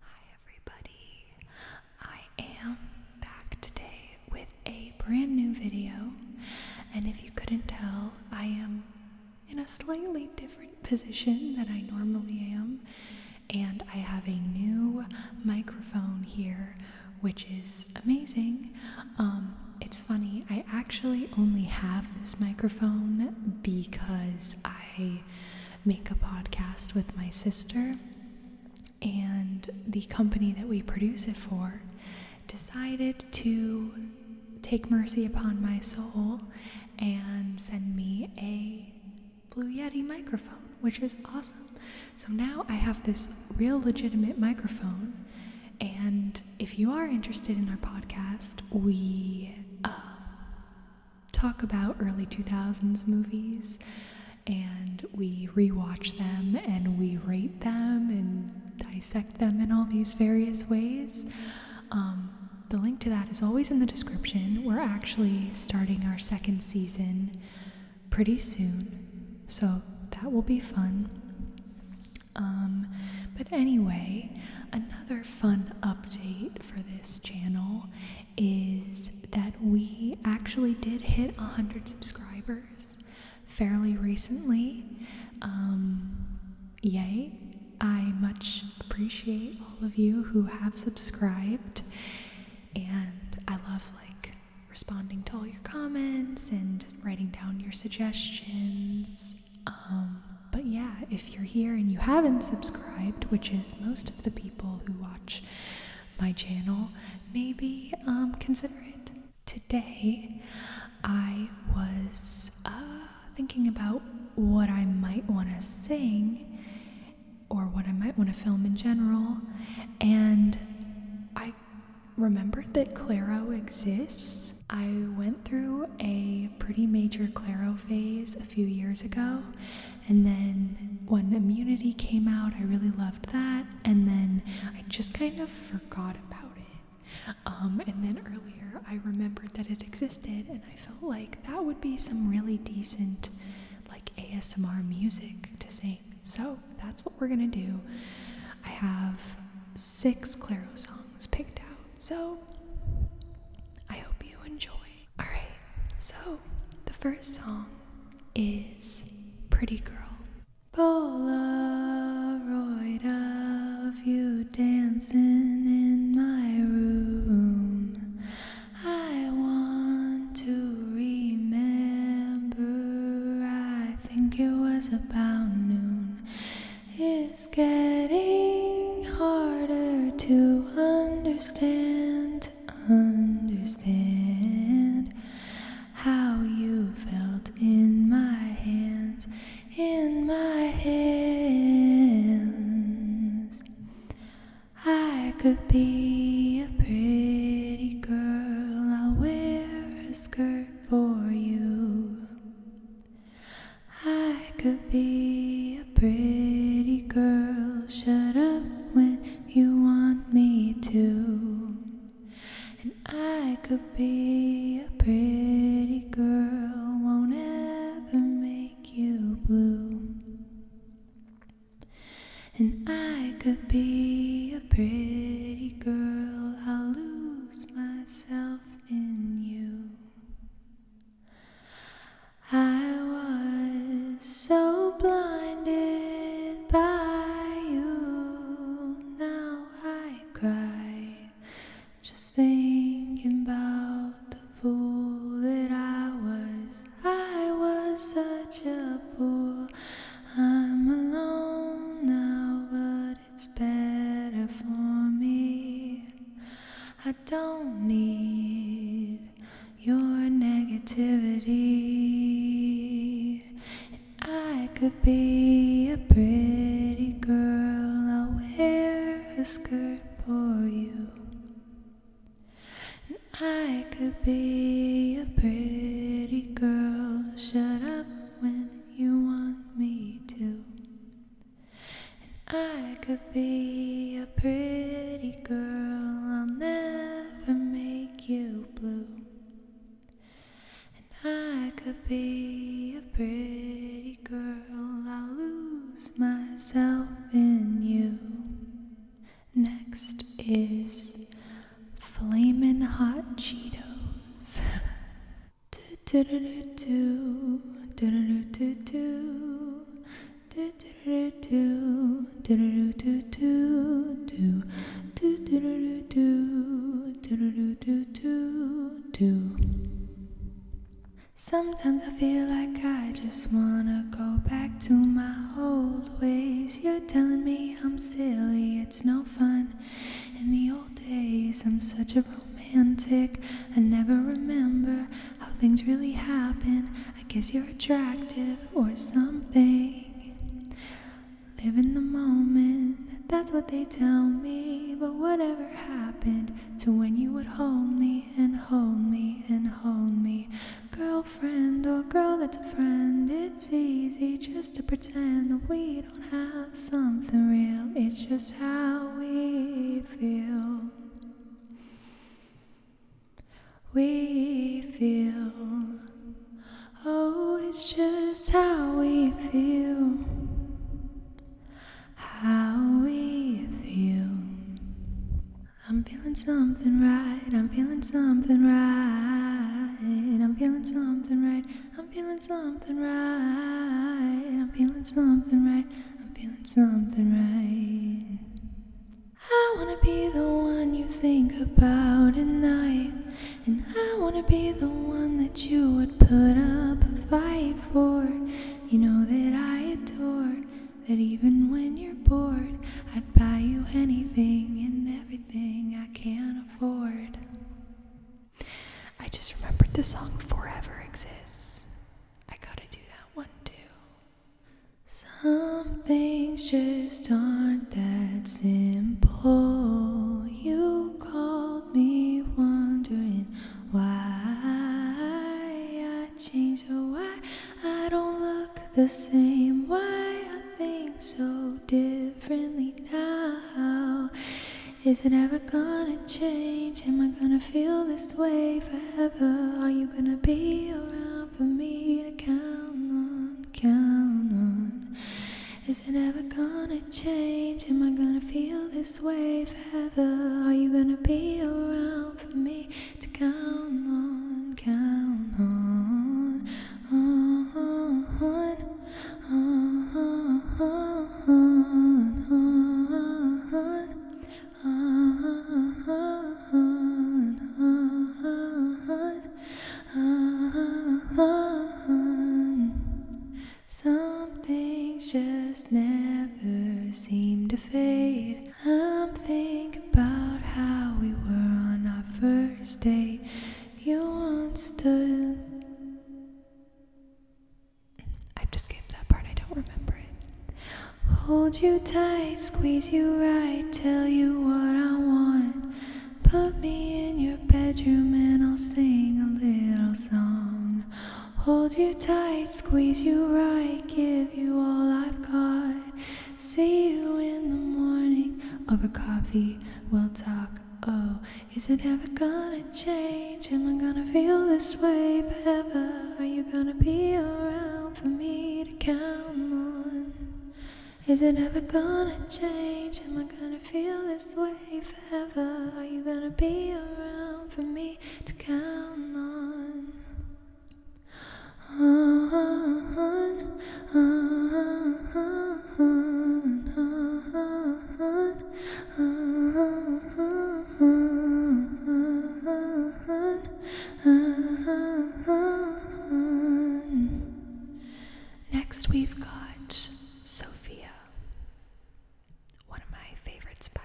Hi, everybody. I am back today with a brand new video, and if you couldn't tell, I am in a slightly different position than I normally am, and I have a new microphone here, which is amazing. Um, it's funny, I actually only have this microphone because I make a podcast with my sister, and the company that we produce it for decided to take mercy upon my soul and send me a Blue Yeti microphone, which is awesome. So now I have this real legitimate microphone. And if you are interested in our podcast, we uh, talk about early 2000s movies and we rewatch them and we rate them and dissect them in all these various ways. Um, the link to that is always in the description. We're actually starting our second season pretty soon, so that will be fun. Um, but anyway, another fun update for this channel is that we actually did hit 100 subscribers fairly recently. Um, yay! I much appreciate all of you who have subscribed, and I love like responding to all your comments and writing down your suggestions. Um, but yeah, if you're here and you haven't subscribed, which is most of the people who watch my channel, maybe um, consider it. Today, I was uh, thinking about what I might want to sing or what I might want to film in general, and I remembered that Claro exists. I went through a pretty major Claro phase a few years ago. And then when Immunity came out, I really loved that. And then I just kind of forgot about it. Um, and then earlier, I remembered that it existed, and I felt like that would be some really decent, like ASMR music to sing. So that's what we're gonna do. I have six Claro songs picked out. So I hope you enjoy. Alright, so the first song is Pretty Girl. Polaroid of you dancing in my room. I want to remember. I think it was about noon. It it's getting harder to understand, understand how you felt in my hands, in my hands. I could be a pretty girl, I'll wear a skirt for you. I could be a pretty girl. Shut up when you want me to. And I could be a pretty girl. Won't ever make you blue. And I could be a pretty girl. I'll lose myself in you. I was so blinded by you. Now I cry just thinking about the fool that I was. I was such a fool. I'm alone now, but it's better for me. I don't need your negativity. I could be a pretty girl, I'll wear a skirt for you. I could be a pretty girl, shut up when you want me to. And I could be a pretty girl, I'll never make you blue. And I could be a pretty girl, I'll lose myself in you. Next is flaming Hot Cheetos. Sometimes I feel like I just wanna go back to my old ways. You're telling me I'm silly, it's no fun. In the old days, I'm such a romance. I never remember how things really happen. I guess you're attractive or something. Live in the moment, that's what they tell me. But whatever happened to when you would hold me and hold me and hold me? Girlfriend or girl that's a friend, it's easy just to pretend that we don't have something real. It's just how we feel we feel. Oh, it's just how we feel. How we feel. I'm feeling something right. I'm feeling something right. I'm feeling something right. I'm feeling something right. I'm feeling something right. I'm feeling something right. I wanna be the one you think about at night, and I wanna be the one that you would put up a fight for. You know that I adore that even when you're bored, I'd buy you anything and everything I can afford. I just remembered the song Forever Exists. I gotta do that one too. Some things just aren't that simple. You called me wondering why I changed or why I don't look the same, why I think so differently now. Is it ever gonna change? Am I gonna feel this way forever? Are you gonna be around for me to count on, count on? Is it ever gonna change? Am I gonna feel this way forever? Are you gonna be around for me to count on, count on, on, on? on, some things just never seem to fade. I'm thinking about how we were on our first date. You understood. I just skipped that part, I don't remember it. Hold you tight, squeeze you right, tell you what I want. Put me in your bedroom and I'll sing a little song. Hold you tight, squeeze you right, give you all I've got. See you in the morning over coffee, we'll talk. Oh, is it ever gonna change? Am I gonna feel this way forever? Are you gonna be around for me to count on? Is it ever gonna change? Am I gonna feel this way forever? Are you gonna be around for me to count on? On, on, on, on, on. Next, we've got Sophia, one of my favorites by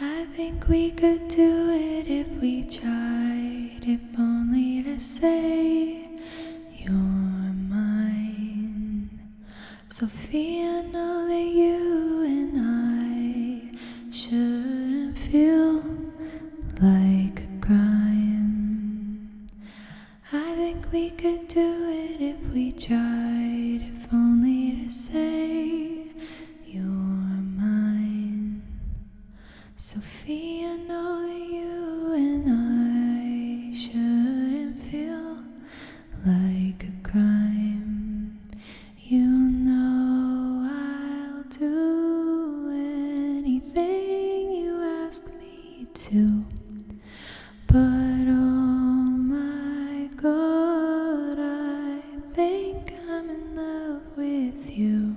I think we could do it if we tried, if only to say you're mine. Sophia, know that you and I shouldn't feel like a crime. I think we could do it if we tried, if only to say you're mine. Sophia, know that you and I shouldn't feel like a crime. You know I'll do anything you ask me to, but oh my god, I think I'm in love with you.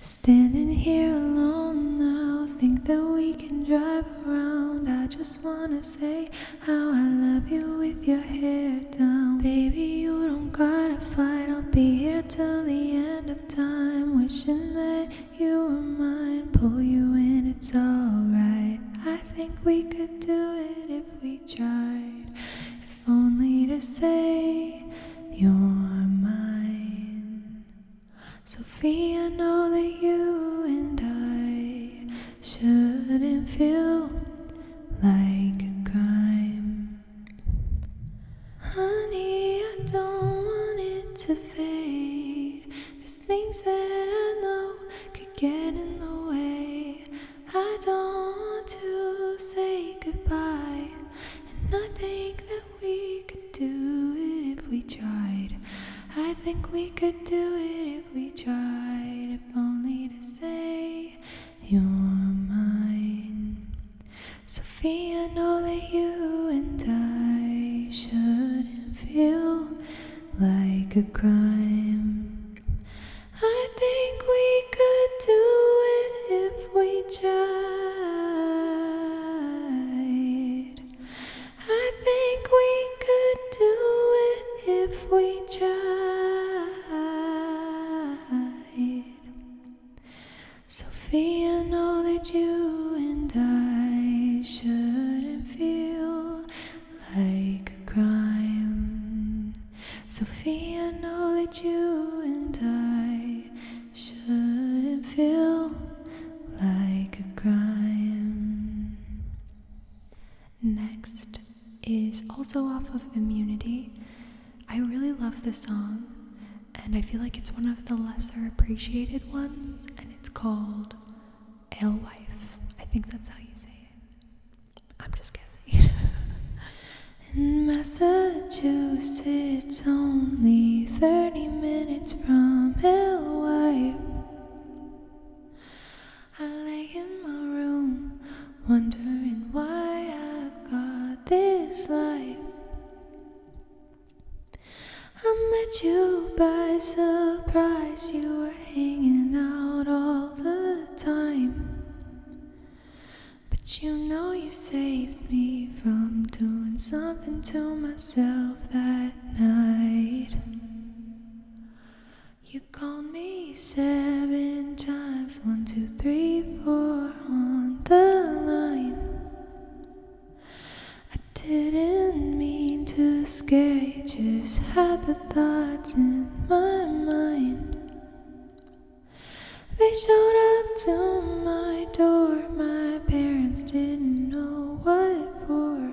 Standing here alone now, think that we can drive I just wanna say how I love you with your hair down. Baby, you don't gotta fight. I'll be here till the end of time. Wishing that you were mine. Pull you in, it's alright. I think we could do it if we tried. If only to say you're mine. Sophia, I know that you and I shouldn't feel like a crime. Honey, I don't want it to fade. There's things that I know could get in the way. I don't want to say goodbye, and I think that we could do it if we tried. I think we could do it if we tried. If only to say you're mine. Sophia, know that you and I shouldn't feel like a crime. I think we could do it if we tried. I think we could do it if we tried. Sophia, know that you and I shouldn't feel like a crime. Sophia, know that you and I shouldn't feel like a crime. Next is also off of Immunity. I really love this song, and I feel like it's one of the lesser appreciated ones, and it's called Alewife. I think that's how you say it. I'm just guessing. In Massachusetts, only 30 minutes minutes from hellwife. I lay in my room, wondering why I've got this life. I met you by surprise, you were hanging out all the time. But you know you saved me from doing something to myself that you called me seven times, one, two, three, four on the line. I didn't mean to scare you, just had the thoughts in my mind. They showed up to my my parents didn't know what for.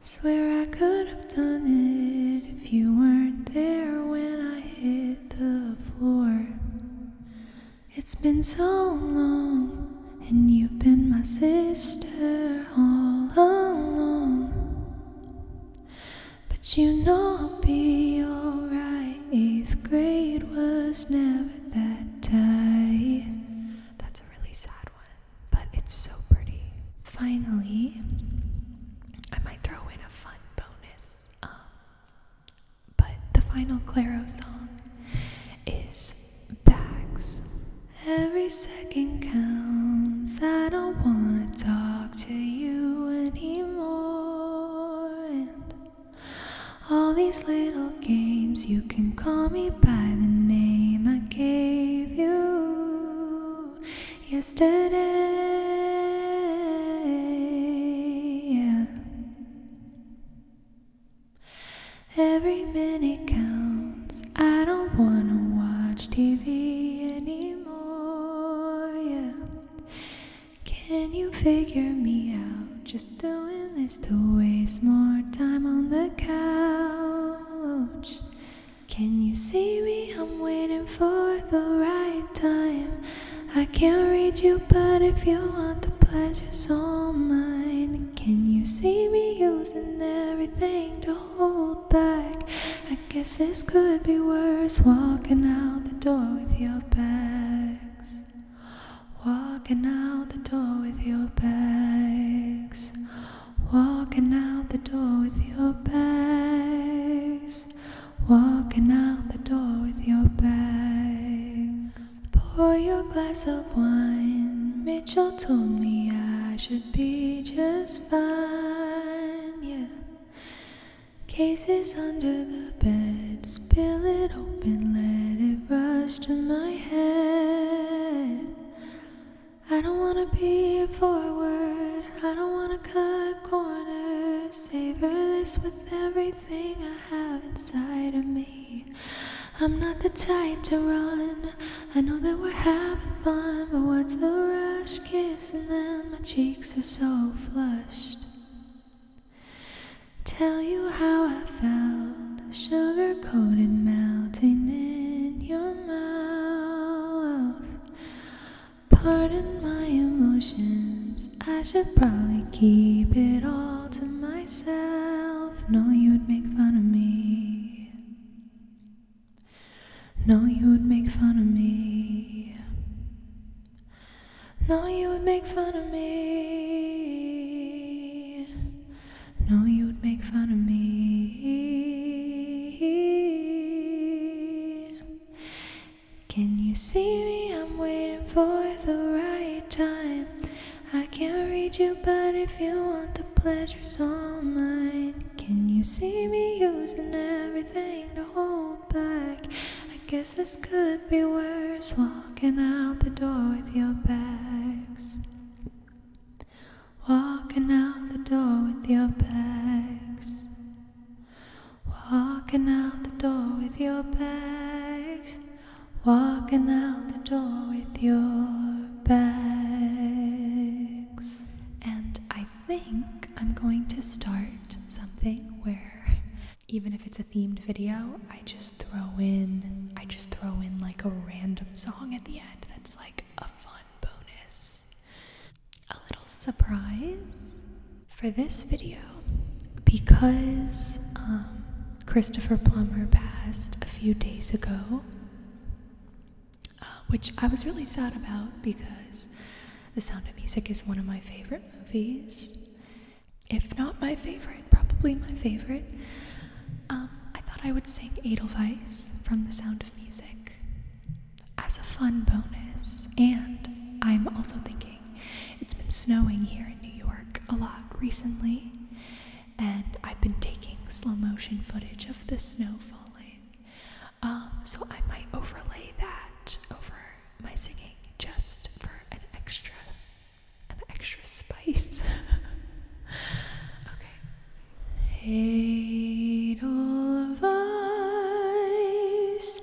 Swear I could have done it if you weren't there when I hit the floor. It's been so long, and you've been my sister all along. But you know I'll be alright. Eighth grade was never that that That's a really sad one, but it's so pretty. Finally, I might throw in a fun bonus. Um, but the final Claro song is Bags. Every second counts. I don't wanna talk to you anymore. All these little games, you can call me by the name I gave you yesterday. Every minute counts. I don't wanna watch TV anymore. Can you figure me out? Just doing this to waste more time on the couch. Can you see me? I'm waiting for the right time. I can't read you, but if you want the pleasure's all mine. Can you see me using everything to hold back? I guess this could be worse walking out the door with your bags. Walking out the door with your bags. Walking out the door with your bags. Walking out the door with your bags. Pour your glass of wine. Mitchell told me I should be just fine. Yeah. Cases under the bed Spill it open, let it rush to my head. I don't wanna be forward, I don't wanna cut corners. Savor this with everything I have inside of me. I'm not the type to run, I know that we're having fun, but what's the rush? Kissing then my cheeks are so flushed. Tell you how I felt, sugar coated, melting in your mouth. Pardon my emotions, I should probably keep it all to myself. No, you'd make fun of me. No, you would make fun of me. Know you would make fun of me. Know you would make fun of me. Can you see me? I'm waiting for the right time. I can't read you, but if you want the pleasure's all mine. Can you see me using everything to hold back? I guess this could be worse walking out the door with your bags. Walking out the door with your bags. Walking out the door with your bags. Walking out the door with your bags. And I think I'm going to start something where even if it's a themed video, I just throw in I just throw in like a random song at the end that's like a fun bonus. A little surprise for this video because um, Christopher Plummer passed a few days ago, uh, which I was really sad about because The Sound of Music is one of my favorite movies if not my favorite, probably my favorite. Um, I thought I would sing Edelweiss from The Sound of Music as a fun bonus. And I'm also thinking it's been snowing here in New York a lot recently, and I've been taking slow motion footage of the snow falling. Um, so I might overlay that over my singing just for an extra an extra spice. okay. Edelweiss,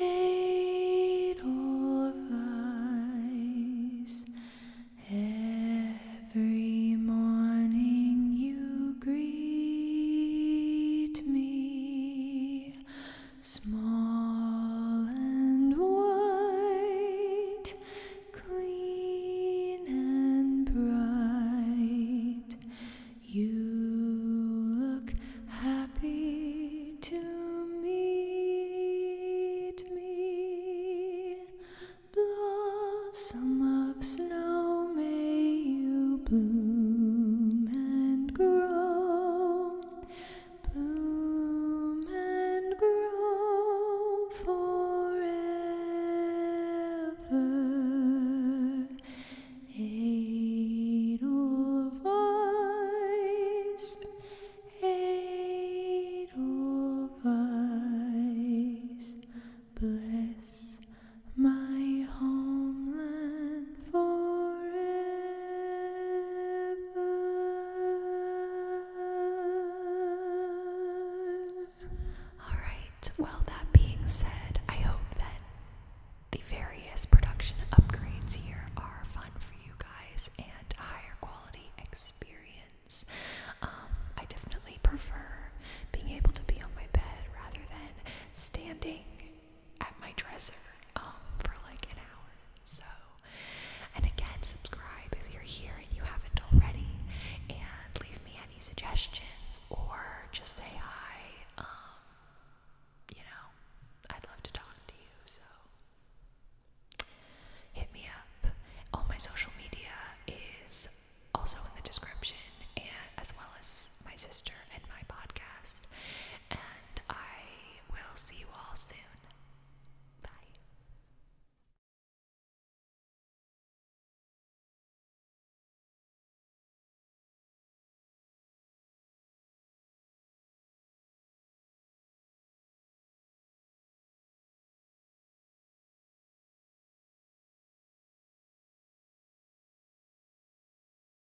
Edelweiss, every morning you greet me Small and white, clean and bright, you look happy to meet me. Blossom of snow, may you bloom and grow bloom and grow forever. Edelweiss, Edelweiss, bless my homeland all right, well, that being said, I hope that the various production upgrades here are fun for you guys and a higher quality experience. Um, I definitely prefer being able to be on my bed rather than standing at my dresser um, for like an hour. So, and again, subscribe if you're here and you haven't already, and leave me any suggestions or just say hi. Um, you know, I'd love to talk to you. So, hit me up. All my social media is also in the description, and as well as my sister and my podcast. And I will see you all soon. Bye.